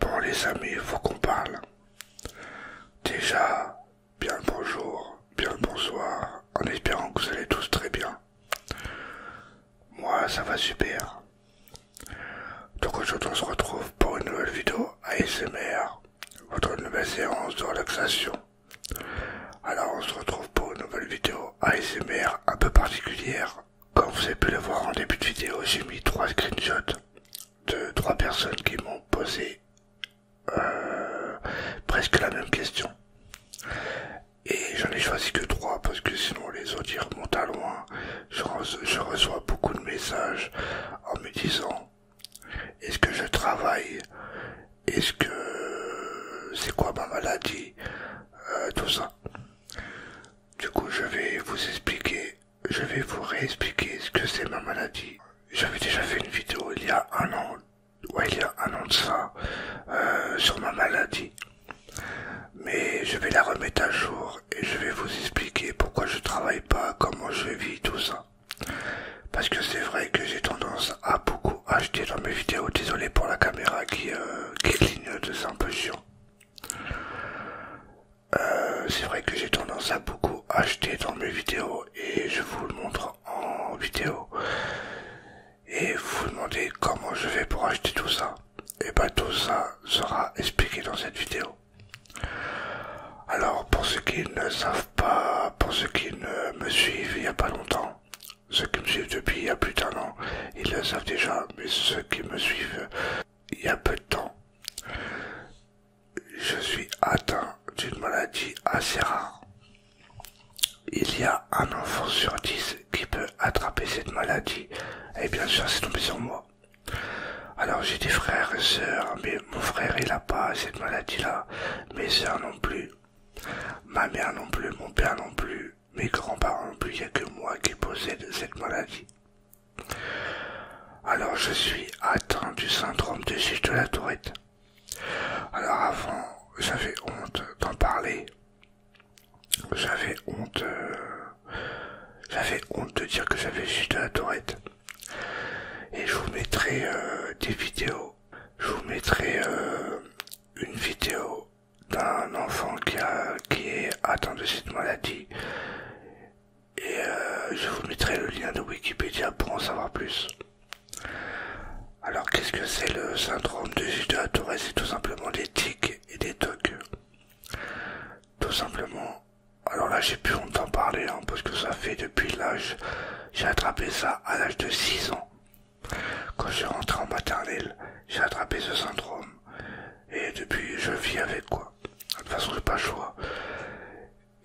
Bon les amis, il faut qu'on parle. Déjà, bien le bonjour, bien le bonsoir, en espérant que vous allez tous très bien. Moi, ça va super. Donc aujourd'hui, on se retrouve pour une nouvelle vidéo ASMR votre nouvelle séance de relaxation. Alors on se retrouve pour une nouvelle vidéo ASMR un peu particulière. Comme vous avez pu le voir en début de vidéo, j'ai mis trois screenshots de trois personnes qui m'ont posé euh, presque la même question. Et j'en ai choisi que trois parce que sinon les autres montent remontent à loin. Je, reçois beaucoup de messages en me disant est-ce que je travaille Est-ce que c'est quoi ma maladie euh, Tout ça. Du coup, je vais vous expliquer, je vais vous réexpliquer ce que c'est ma maladie. J'avais déjà fait une vidéo il y a un an, ouais, il y a un an de ça, euh, sur ma maladie. Mais je vais la remettre à jour et je vais vous expliquer pourquoi je travaille pas, comment je vis tout ça. Parce que c'est vrai que j'ai tendance à beaucoup acheter dans mes vidéos. Désolé pour la caméra qui, est euh, qui clignote, c'est un peu chiant. c'est vrai que j'ai tendance à beaucoup acheter dans mes vidéos et je vous le montre en vidéo. Et vous vous demandez comment je fais pour acheter tout ça. Et bah tout ça sera expliqué dans cette vidéo. Alors, pour ceux qui ne savent pas, pour ceux qui ne me suivent il n'y a pas longtemps, ceux qui me suivent depuis il y a plus d'un an, ils le savent déjà, mais ceux qui me suivent il y a peu de temps, je suis atteint d'une maladie assez rare. Il y a un enfant sur dix qui peut attraper cette maladie, et eh bien sûr c'est tombé sur moi. Alors j'ai des frères et sœurs, mais mon frère il n'a pas cette maladie-là, mes sœurs non plus, ma mère non plus, mon père non plus, mes grands-parents non plus, il n'y a que moi qui possède cette maladie. Alors je suis atteint du syndrome de Gilles de la Tourette. Alors avant, j'avais honte d'en parler. J'avais honte euh, j'avais honte de dire que j'avais juste à la tourette. Et je vous mettrai euh, des vidéos. Je vous mettrai euh, une vidéo d'un enfant qui, a, qui est atteint de cette maladie. Et euh, je vous mettrai le lien de Wikipédia pour en savoir plus. Alors qu'est-ce que c'est le syndrome de Gilles à Tourette C'est tout simplement des tics et des toques tout simplement. Alors là, j'ai plus longtemps parler, hein, parce que ça fait depuis l'âge, j'ai attrapé ça à l'âge de 6 ans. Quand j'ai rentré en maternelle, j'ai attrapé ce syndrome. Et depuis, je vis avec quoi. De toute façon, j'ai pas le choix.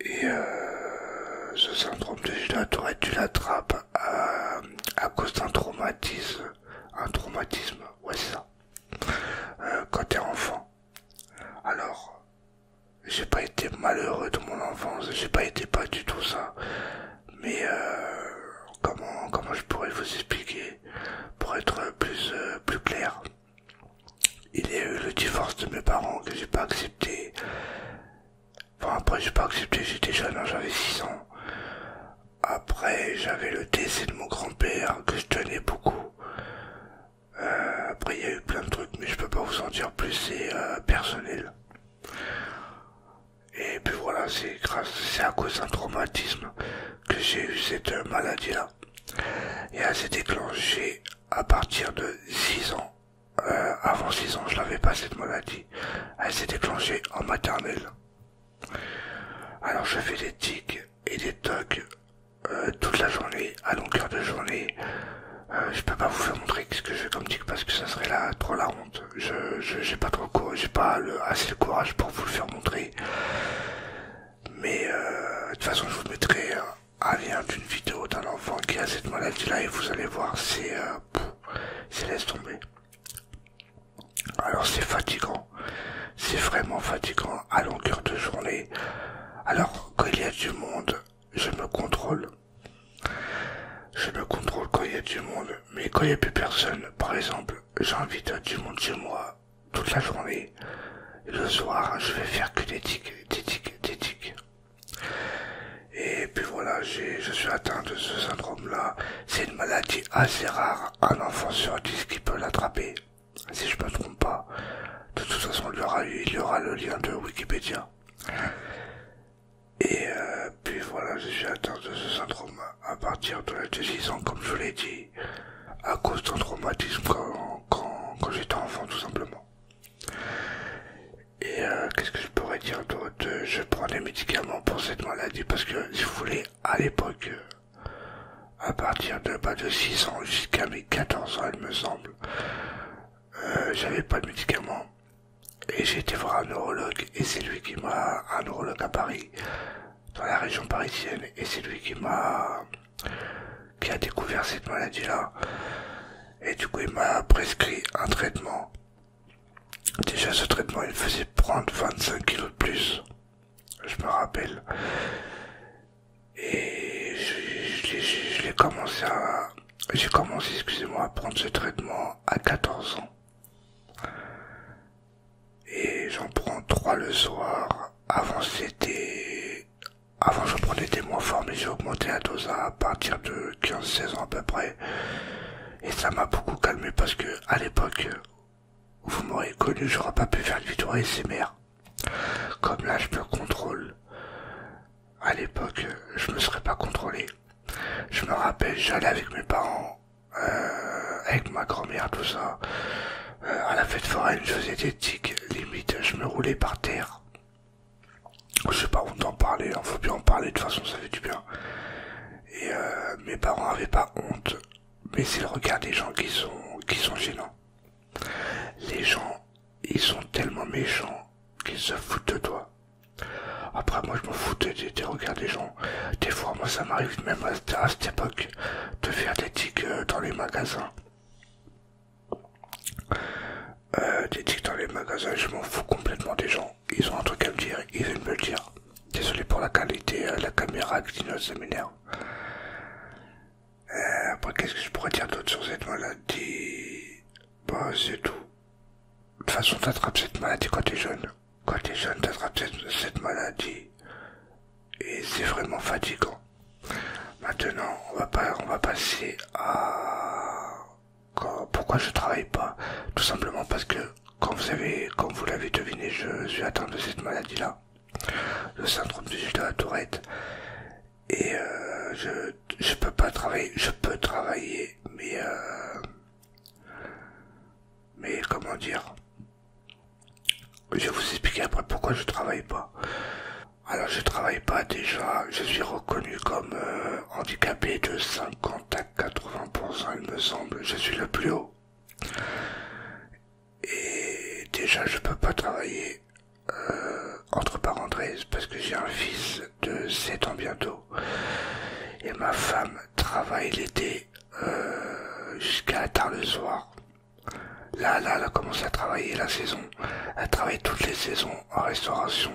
Et euh, ce syndrome de Gilles tu l'attrapes euh, à, cause d'un traumatisme. Un traumatisme, ouais c'est euh, quand enfant. Alors, j'ai pas été malheureux de mon enfance, j'ai pas été pas du tout ça. Mais euh, comment comment je pourrais vous expliquer pour être plus euh, plus clair Il y a eu le divorce de mes parents que j'ai pas accepté. Enfin après j'ai pas accepté, j'étais jeune, hein, j'avais 6 ans. Après, j'avais le décès de mon grand-père que je tenais beaucoup. Euh, après, il y a eu plein de trucs, mais je peux pas vous en dire plus, c'est euh, personnel. Et puis voilà, c'est grâce, c'est à cause d'un traumatisme que j'ai eu cette euh, maladie-là. Et elle s'est déclenchée à partir de 6 ans. avant 6 ans, je n'avais pas cette maladie. Elle s'est déclenchée en maternelle. Alors je fais des tics et des tocs euh, toute la journée, à longueur de journée. Euh, je peux pas vous faire montrer ce que je fais comme tic parce que ça serait là trop la honte. Je j'ai pas assez le courage pour vous le faire montrer. Mais euh, de toute façon je vous mettrai un lien d'une vidéo d'un enfant qui a cette maladie là et vous allez voir c'est laisse tomber. Alors c'est fatigant, c'est vraiment fatigant à longueur de journée. Alors quand il y a du monde, je me contrôle. Je me contrôle quand il y a du monde, mais quand il n'y a plus personne, par exemple, j'invite du monde chez moi toute la journée. le soir, je vais faire que des tics, des des Et puis voilà, je suis atteint de ce syndrome-là. C'est une maladie assez rare un enfant sur dix qui peut l'attraper. Si je me trompe pas, de toute façon il y aura, le lien de Wikipédia. Et euh, puis voilà, j'ai atteint de ce syndrome à partir de de 6 ans, comme je vous l'ai dit, à cause d'un traumatisme quand, j'étais enfant tout simplement. Et euh, qu'est-ce que je pourrais dire d'autre Je prends des médicaments pour cette maladie parce que si vous voulez, à l'époque, euh, à partir de pas bah, de 6 ans jusqu'à mes 14 ans, il me semble, euh, j'avais pas de médicaments. Et j'ai été voir un neurologue, et c'est lui qui m'a, un neurologue à Paris, dans la région parisienne, et c'est lui qui m'a, qui a découvert cette maladie-là. Et du coup, il m'a prescrit un traitement Déjà ce traitement il faisait prendre 25 kilos de plus, je me rappelle. Et je l'ai commencé à... J'ai commencé, excusez-moi, à prendre ce traitement à 14 ans. Et j'en prends 3 le soir. Avant Avant j'en prenais des moins forts, mais j'ai augmenté la dose à partir de 15-16 ans à peu près. Et ça m'a beaucoup calmé parce que à l'époque, vous m'aurez connu, j'aurais pas pu faire de ses mères. Comme là, je peux contrôle. À l'époque, je me serais pas contrôlé. Je me rappelle, j'allais avec mes parents, euh, avec ma grand-mère, tout ça. Euh, à la fête foraine, je faisais des tics, limite, je me roulais par terre. Je sais pas où t'en parler, il faut bien en parler, de toute façon ça fait du bien. Et euh, mes parents avaient pas honte, mais c'est le regard des gens qui sont, qui sont gênants. Les gens, ils sont tellement méchants qu'ils se foutent de toi. Après, moi, je m'en foutais des, regards des gens. Des fois, moi, ça m'arrive même à, cette époque de faire des tics euh, dans les magasins. Euh, des tics dans les magasins, je m'en fous complètement des gens ils ont un truc à me dire, ils veulent me le dire. Désolé pour la qualité, euh, la caméra qui ça m'énerve. Euh, après, qu'est-ce que je pourrais dire d'autre sur cette maladie Bah, c'est tout. De toute façon, t'attrapes cette maladie quand t'es jeune. Quand t'es jeune, t'attrapes cette, cette maladie. Et c'est vraiment fatigant. Maintenant, on va, pas, on va passer à pourquoi je travaille pas Tout simplement parce que, comme vous l'avez deviné, je suis atteint de cette maladie-là, le syndrome du jus de la Tourette, et euh, je ne peux pas travailler, je peux travailler, mais euh, mais comment dire Je vais vous expliquer après pourquoi je travaille pas. Alors je travaille pas déjà, je suis reconnu comme euh, handicapé de 50 80%, il me semble, je suis le plus haut. Et déjà, je peux pas travailler euh, entre parenthèses parce que j'ai un fils de 7 ans bientôt. Et ma femme travaille l'été euh, jusqu'à tard le soir. Là, là, elle a commencé à travailler la saison. Elle travaille toutes les saisons en restauration.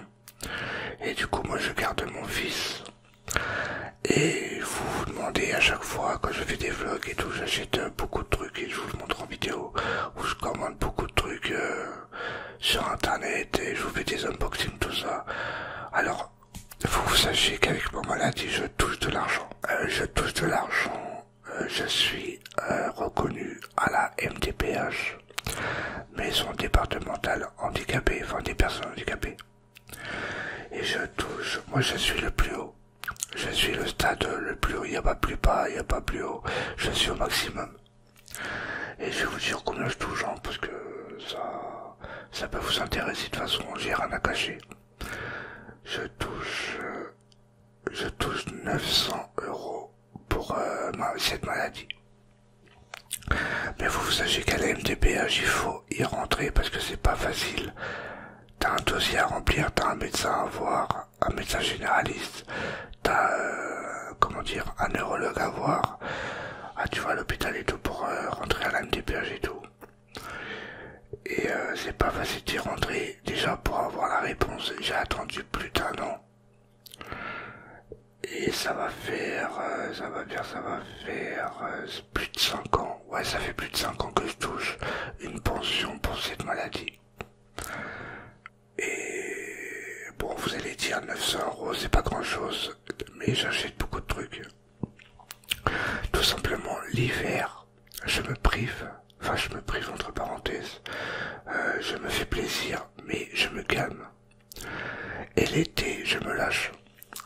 Et du coup, moi, je garde mon fils. Et vous vous demandez à chaque fois quand je fais des vlogs et tout, j'achète euh, beaucoup de trucs et je vous le montre en vidéo, ou je commande beaucoup de trucs euh, sur internet et je vous fais des unboxings, tout ça. Alors, vous sachiez qu'avec mon maladie, je touche de l'argent. Euh, je touche de l'argent, je suis reconnu à la MDPH. Mais son départemental handicapé enfin des personnes handicapées. Et je touche, moi je suis le plus haut. Je suis le stade le plus haut, il n'y a pas plus bas, il n'y a pas plus haut. Je suis au maximum. Et je vais vous dire combien je touche, hein, parce que ça, ça peut vous intéresser de toute façon, j'ai rien à cacher. Je touche, euh, je touche 900 euros pour euh, cette maladie. Mais vous, vous sachez qu'à la MDPH, hein, il faut y rentrer parce que c'est pas facile. T'as un dossier à remplir, t'as un médecin à voir, un médecin généraliste, t'as, euh, comment dire, un neurologue à voir. Ah, tu vas à l'hôpital et tout pour euh, rentrer à la MDPH hein, et tout. Et c'est pas facile d'y rentrer. Déjà, pour avoir la réponse, j'ai attendu plus d'un an. Et euh, ça va faire, ça va faire, ça euh, plus de 5 ans. Ouais, ça fait plus de 5 ans que je touche une pension pour cette maladie. Et bon, vous allez dire 900 euros, c'est pas grand chose, mais j'achète beaucoup de trucs. Tout simplement, l'hiver, je me prive, enfin, je me prive entre parenthèses, euh, je me fais plaisir, mais je me calme. Et l'été, je me lâche.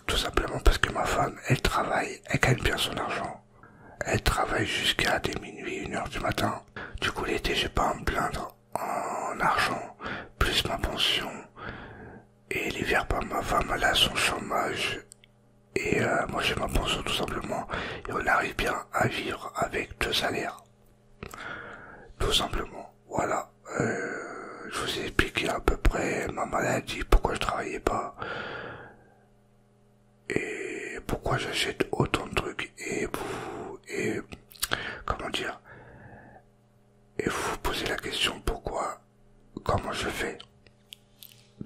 Tout simplement parce que ma femme, elle travaille, elle gagne bien son argent. Elle travaille jusqu'à des minuit, une heure du matin. Du coup, l'été, j'ai pas à me plaindre en argent, plus ma pension. Et l'hiver, pas bah, ma femme, elle a son chômage. Et euh, moi, j'ai ma pension tout simplement. Et on arrive bien à vivre avec deux salaires. Tout simplement. Voilà. Euh, je vous ai expliqué à peu près ma maladie, pourquoi je travaillais pas. Et pourquoi j'achète autant de trucs. Et vous... Et... Comment dire Et vous posez la question pourquoi... Comment je fais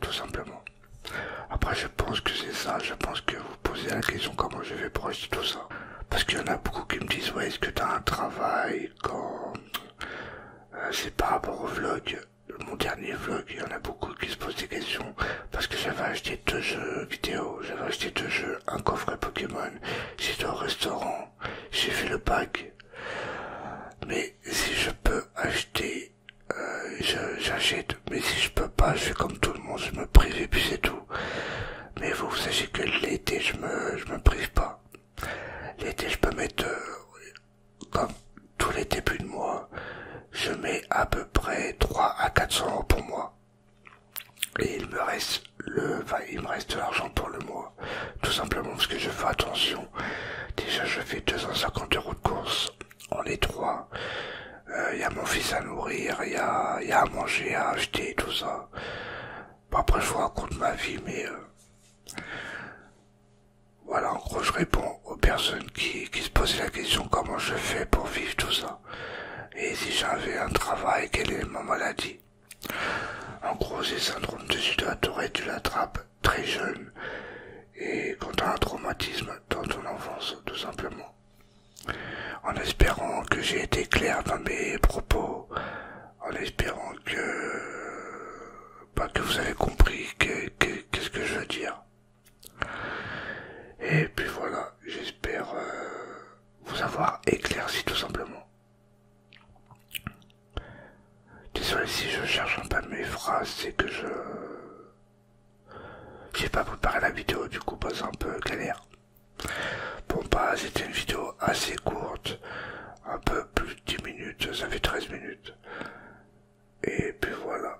Tout simplement. Après je pense que c'est ça. Je pense que vous posez la question comment je fais pour acheter tout ça. Parce qu'il y en a beaucoup qui me disent Ouais, est-ce que t'as un travail quand. Euh, c'est par rapport au vlog, mon dernier vlog, il y en a beaucoup qui se posent des questions parce que j'avais acheté deux jeux vidéo, j'avais acheté deux jeux, un coffret Pokémon, j'étais au restaurant, j'ai fait le pack. Mais si je peux acheter, euh, je j'achète, mais si je peux pas, je fais comme tout le monde, je me prive et puis c'est tout. Mais vous sachez que l'été, je me, je me prive pas. L'été, je peux mettre, euh, comme tous les débuts de mois, je mets à peu près 3 à 400 euros pour moi. Et il me reste le, il me reste de l'argent pour le mois. Tout simplement parce que je fais attention. Déjà, je fais 250 euros de course. en étroit. Il euh, y a mon fils à nourrir, il y a, à manger, à acheter, tout ça. après, je vous raconte ma vie, mais... Euh, voilà, en gros, je réponds aux personnes qui, se posent la question comment je fais pour vivre tout ça. Et si j'avais un travail, quelle est ma maladie En gros, c'est syndrome de Sida tu l'attrapes très jeune. Et quand tu as un traumatisme dans ton enfance, tout simplement en espérant que j'ai été clair dans mes propos, en espérant que, bah, que vous avez compris qu'est-ce que, je veux dire. Et puis voilà, j'espère euh, vous avoir éclairci tout simplement. Désolé si je cherche un peu mes phrases, c'est que je j'ai pas préparé la vidéo, du coup, pas un peu galère. Bon, bah, c'était une vidéo assez courte, un peu plus de 10 minutes, ça fait 13 minutes. Et puis voilà.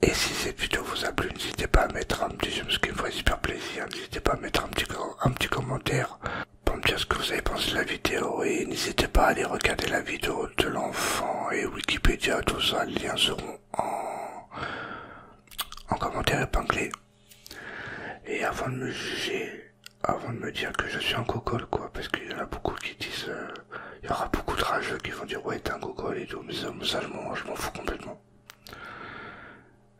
Et si cette vidéo vous a plu, n'hésitez pas à mettre un petit j'aime, ce qui me ferait super plaisir. N'hésitez pas à mettre un petit, un petit commentaire pour me dire ce que vous avez pensé de la vidéo. Et n'hésitez pas à aller regarder la vidéo de l'enfant et Wikipédia, tout ça, les liens seront en, en commentaire épinglé. Et avant de me juger, avant de me dire que je suis un cocole quoi, parce qu'il y en a beaucoup qui disent, euh, il y aura beaucoup de rageux qui vont dire ouais t'es un cocole et tout, mais ça, ça je m'en fous complètement.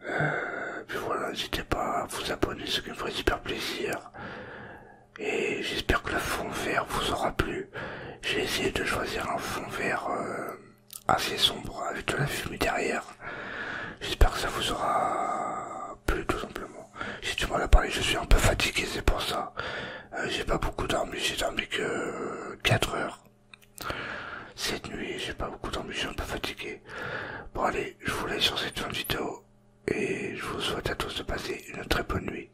Euh, puis voilà, n'hésitez pas à vous abonner, ce qui me ferait super plaisir. Et j'espère que le fond vert vous aura plu. J'ai essayé de choisir un fond vert euh, assez sombre avec de la fumée derrière. J'espère que ça vous aura plu tout simplement. si tu m'en as parlé je suis un peu fatigué, c'est pour ça. Euh, j'ai pas beaucoup dormi, j'ai dormi que 4 heures. Cette nuit, j'ai pas beaucoup dormi, je suis un peu fatigué. Bon allez, je vous laisse sur cette fin de vidéo et je vous souhaite à tous de passer une très bonne nuit.